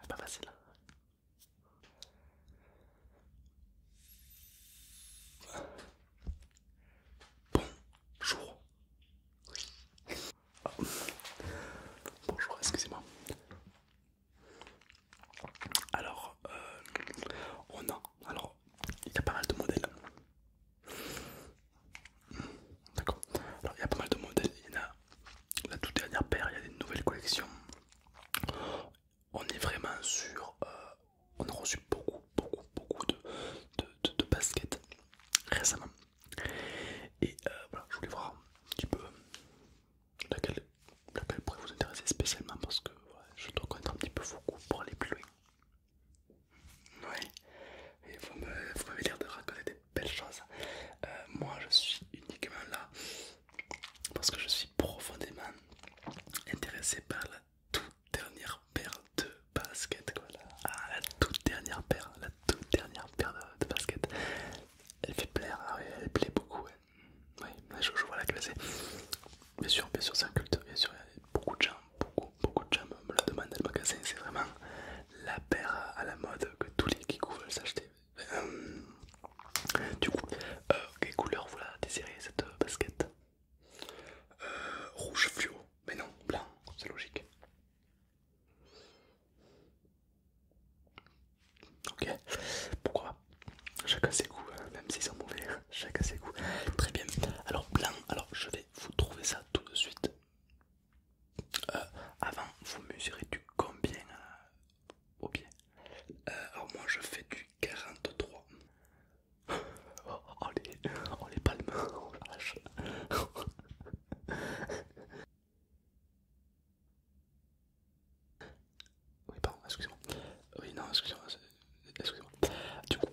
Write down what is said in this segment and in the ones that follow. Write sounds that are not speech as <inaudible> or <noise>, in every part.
Ah, pas facile. Hein. Bonjour. Ah. Bonjour, excusez-moi. Alors, euh, on a, alors, il y a pas mal de modèles. D'accord. Alors il y a pas mal de modèles. Il y en a la toute dernière paire, il y a des nouvelles collections. On est vraiment sur. Euh, on a reçu beaucoup, beaucoup, beaucoup de, baskets récemment. Et euh, voilà, je voulais voir un petit peu laquelle, laquelle pourrait vous intéresser spécialement parce que je dois connaître un petit peu vos goûts pour aller plus loin. Ouais, et vous m'avez l'air de raconter Belle chose. Euh, moi je suis uniquement là parce que je suis profondément intéressé par la toute dernière paire de baskets. Voilà. Ah, la toute dernière paire, la toute dernière de, basket baskets. Elle fait plaire, hein, elle plaît beaucoup. Hein. je, vois la classée. Bien sûr, bien sûr, c'est un culte. Bien sûr, il y a beaucoup de gens beaucoup, de gens me la demandent le magasin. C'est vraiment la paire à la mode que tous les qui veulent s'acheter. Euh, du coup, euh, quelle couleur vous la désirez cette euh, basket Rouge fluo, mais non, blanc, c'est logique. Ok, pourquoi Chacun ses goûts, hein, même s'ils sont mauvais, hein. chacun ses goûts. Très bien, alors blanc, alors je vais vous trouver ça tout de suite. Euh, avant, vous mesurez du combien euh, au pied euh, Alors, moi je fais du 43. <laughs> oh, les, palmes, <laughs> oh la <laughs> Oui, pardon, excusez-moi. Oui, non, excusez-moi. Excusez du coup,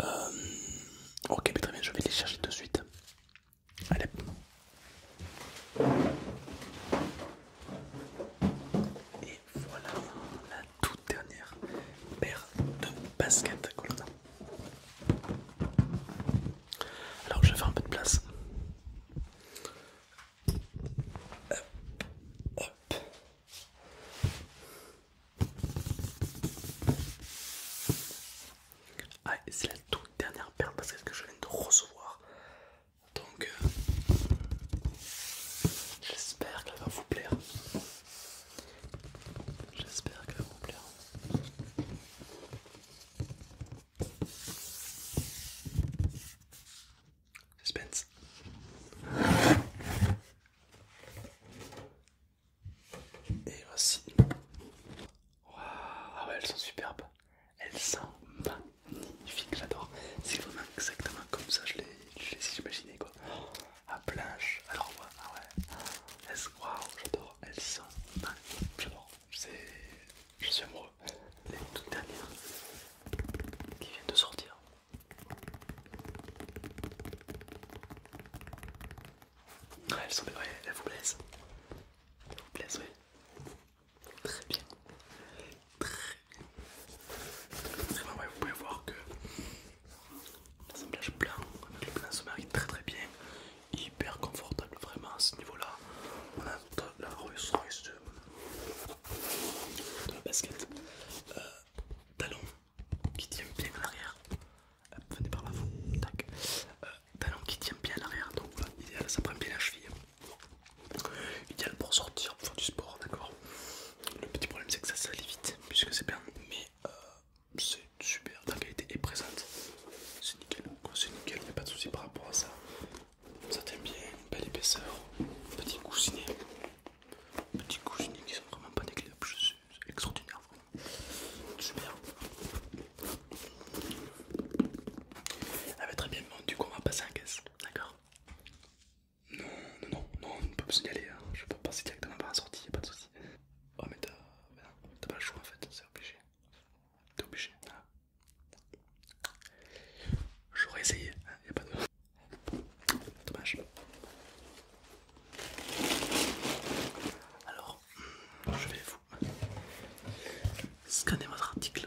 euh, ok, mais très bien, je vais les chercher tout de suite. Allez. Et voilà la toute dernière paire de baskets que l'on Alors je vais faire un peu de place. Ah, c'est la toute dernière perle parce que que je viens de recevoir. Donc, euh, j'espère qu'elle va vous plaire. J'espère qu'elle va vous plaire. Suspense. Et voici. ah ouais, elles sont superbes. Elles sont magnifiques, j'adore. C'est vraiment exactement comme ça, je les imaginé quoi. À ah, planche, alors ouais, ah ouais. Waouh, j'adore, elles sont magnifiques, j'adore. Je suis amoureux. Les toutes dernières qui viennent de sortir, elle vous plaise. Elle vous plaise oui. Très bien. Très bien. vous pouvez voir que l'assemblage blanc avec le plan se est très très bien. Hyper confortable, vraiment à ce niveau-là. On a la les deux de la basket. Euh, talon qui tient bien à l'arrière. Euh, venez par là, euh, talon qui tient bien à l'arrière. Donc voilà, idéal, ça prend bien la cheville. Idéal pour sortir, pour faire du sport, d'accord Le petit problème c'est que ça salit vite, puisque c'est bien, mais c'est super, la qualité est présente. C'est nickel, c'est nickel, il n'y a pas de souci par rapport à ça. Ça t'aime bien, belle épaisseur, petit coussinet. Petit coussinet qui sont vraiment pas des c'est extraordinaire vraiment. Super. Ah bah très bien, du coup on va passer en caisse, d'accord Non, non, non, non, on peut pas s'y aller, hein. je peux passer directement par la sortie, y'a pas de soucis. Oh mais bah, t'as pas le choix en fait, c'est obligé. T'es obligé, J'aurais essayé, il hein, n'y a pas de... Dommage. Alors, je vais vous scanner votre article.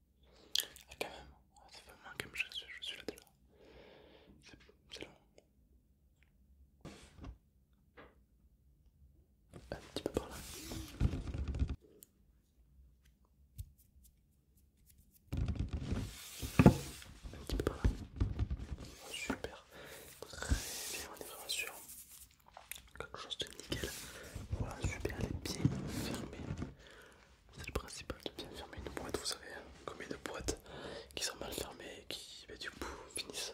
Ah, quand même, c'est ah, fait moins comme je suis, là déjà. C'est long. Un petit peu par là. Un petit peu par là. super. Très bien, on est vraiment sûr. Quelque chose de nickel. Voilà, super, est bien fermés. C'est le principal de bien fermer une boîte, vous savez, hein, combien de boîtes qui sont mal fermées et qui bah, du coup finissent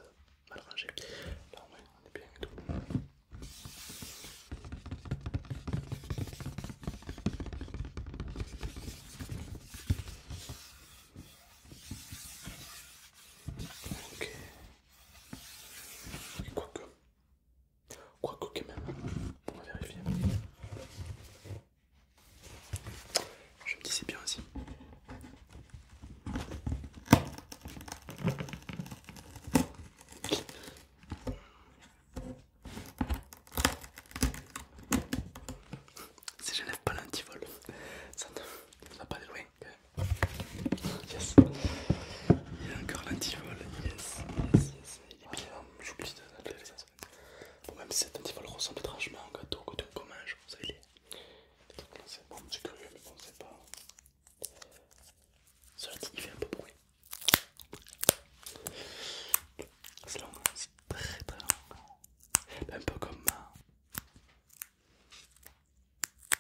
mal rangées. Là on est bien et tout. Ok. Et quoi que Quoique quand même, on va vérifier. Je me dis c'est bien aussi. Si je lève pas l'antivol, ça ne va pas aller loin. Yes. Il y a encore l'antivol. Yes, yes, yes. Il est bien. Je oh, J'oublie de l'appeler les même si cet antivol ressemble étrangement à un gâteau que tu commanges, ça il est. C'est bon, c'est curieux, mais bon, c'est pas. Cela dit, il fait un peu bruit. C'est long, hein, c'est très très long. Un peu comme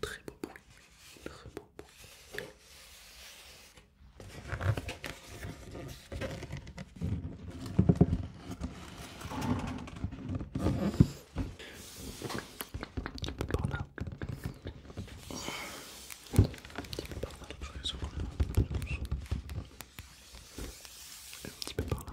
Très beau bruit, très beau bruit. Un peu par là. Un petit peu par là, je vais souvent le... Un petit peu par là.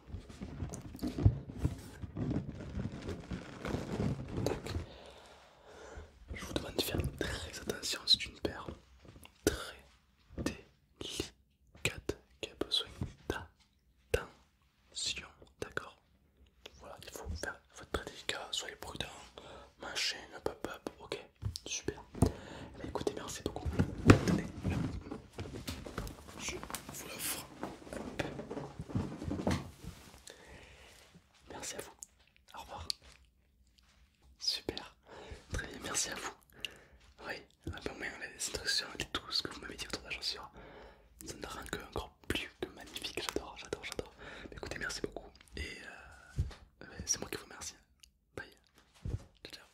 je vous demande de faire très attention, c'est une paire très délicate qui a besoin d'attention, d'accord Voilà, il faut, faire, être très délicat, soyez prudent, machin, pop-up, ok Super. Eh ben, écoutez, merci beaucoup. Attendez, je vous l'offre. Merci à vous. Au revoir. Super. Très bien, merci à vous. Oui, c'est peu moins de tout ce que vous m'avez dit autour de la chaussure. Ça ne rend que encore plus que magnifique. J'adore, j'adore, j'adore. Écoutez, merci beaucoup. Et euh, c'est moi qui vous remercie. Bye. Ciao, ciao.